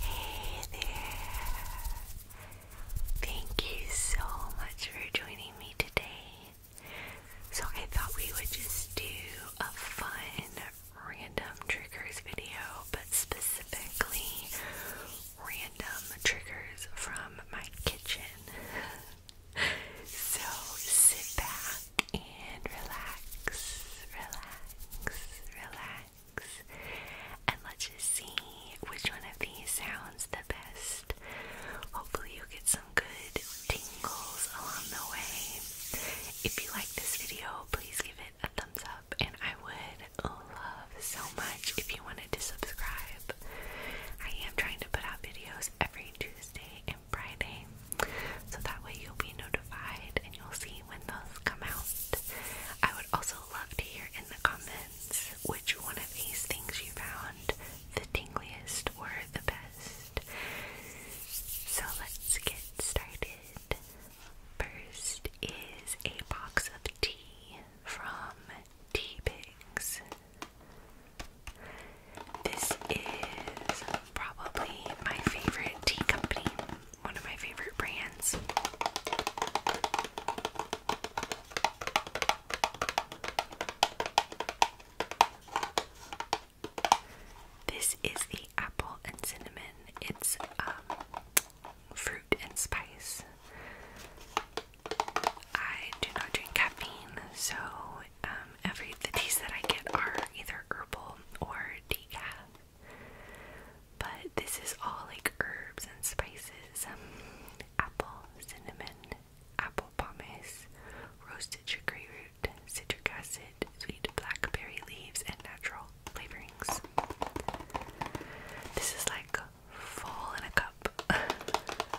Hey there! Thank you so much for joining me today. So, I thought we would just do a fun random triggers video, but specifically random triggers from my kitchen. so, sit back and relax, relax, relax. And let's just see which one of these sounds the best. Hopefully, you get some good tingles along the way. If you like this video, please give it a thumbs up, and I would love so much if you wanted to subscribe. I am trying to put out videos every Tuesday and Friday, so that way you'll be notified you'll see when those come out. I would also love to hear in the comments which one of these things you found the tingliest or the best. So let's get started. First is a box of tea from Tea Pigs. This is probably my favorite tea company, one of my favorite brands. This is the apple and cinnamon. It's um, fruit and spice. I do not drink caffeine, so um, every the teas that I get are either herbal or decaf. But this is all like herbs and spices um, apple, cinnamon, apple pomace, roasted chicory root, citric acid, sweet blackberry leaves, and natural flavorings. This is like fall in a cup.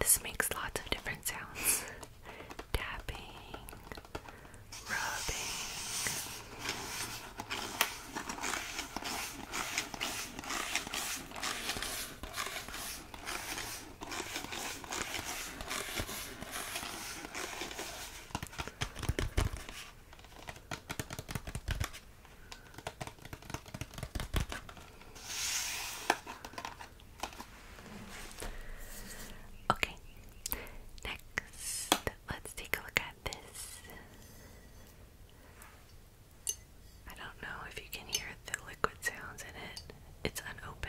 This makes lots of different sounds tapping, rubbing. Okay, next let's take a look at this. I don't know if you can hear the liquid sounds in it, it's unopened.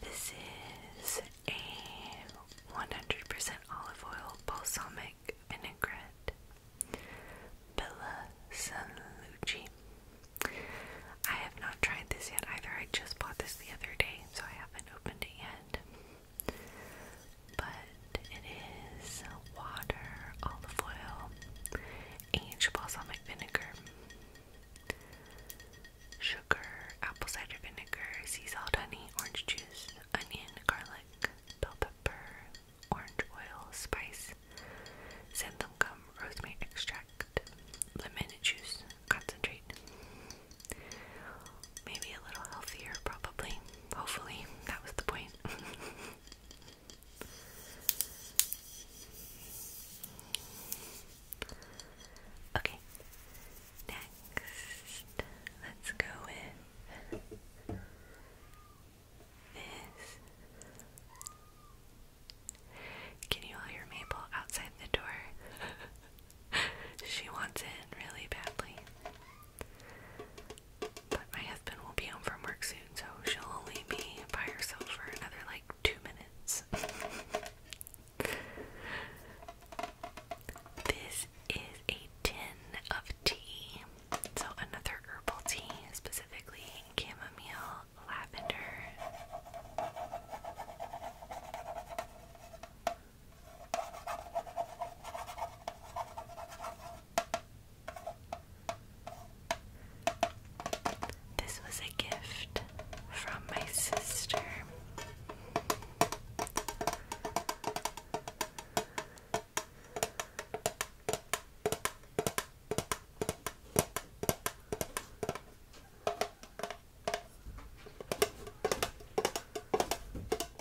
This is a 100% olive oil balsamic vinaigrette, Bella Sanlucci. I have not tried this yet either. I just bought this the other day, so I haven't opened it yet but it is water, olive oil, aged balsamic vinegar, sugar, apple cider vinegar, sea salt, honey, orange juice, onion, garlic, bell pepper, orange oil, spice, xanthan rosemary extract, lemon juice, concentrate. Maybe a little healthier, probably. Hopefully, that was the point. okay, next, let's go with this. Can you hear Maple outside the door? she wants in really badly. But my husband will be home from work soon, so she'll only be by herself for another like two minutes. this is a tin of tea. So, another herbal tea, specifically chamomile lavender. This was a gift from my sister.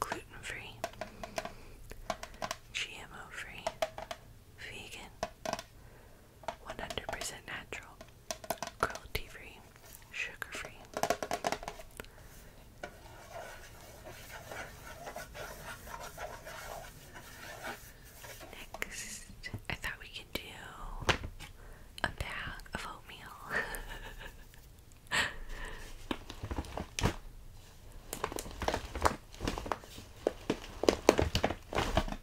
Gluten free, GMO free, vegan, 100% natural, cruelty free, sugar free. Next, I thought we could do a bag of oatmeal.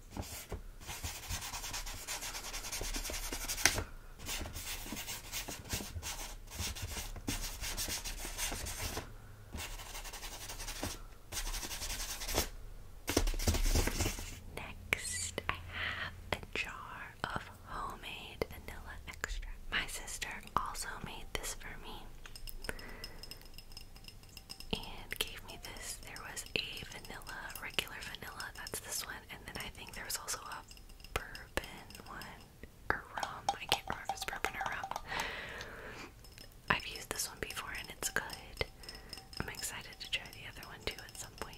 Next, I have a jar of homemade vanilla extract. My sister also made this for me and gave me this. There was a vanilla, regular vanilla, that's this one, and then I think there was also a bourbon one or rum. I can't remember if it's bourbon or rum. I've used this one before and it's good. I'm excited to try the other one too at some point.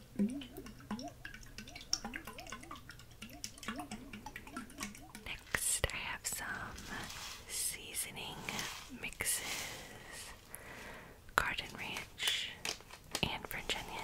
Next, I have some seasoning mixes garden ranch and French onion.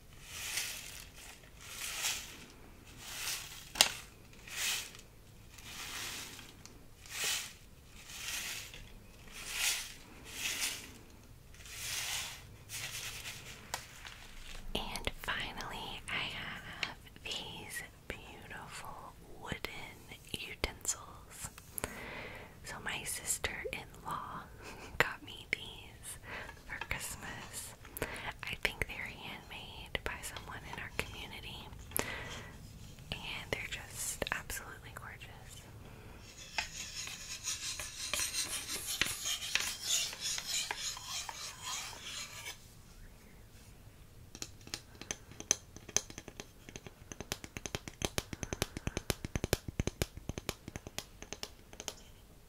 And finally, I have these beautiful wooden utensils. So, my sister in law got me these for Christmas. I think they're handmade by someone in our community, and they're just absolutely gorgeous.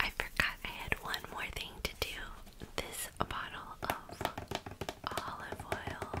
I forgot I had one more thing to do. This bottle of olive oil.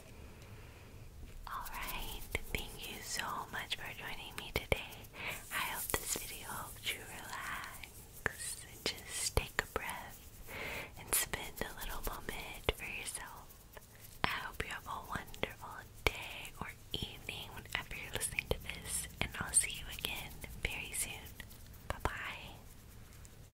Alright, thank you so much for joining me today. I hope this video helps you relax and just take a breath and spend a little moment for yourself. I hope you have a wonderful day or evening whenever you're listening to this, and I'll see you again very soon. Bye bye.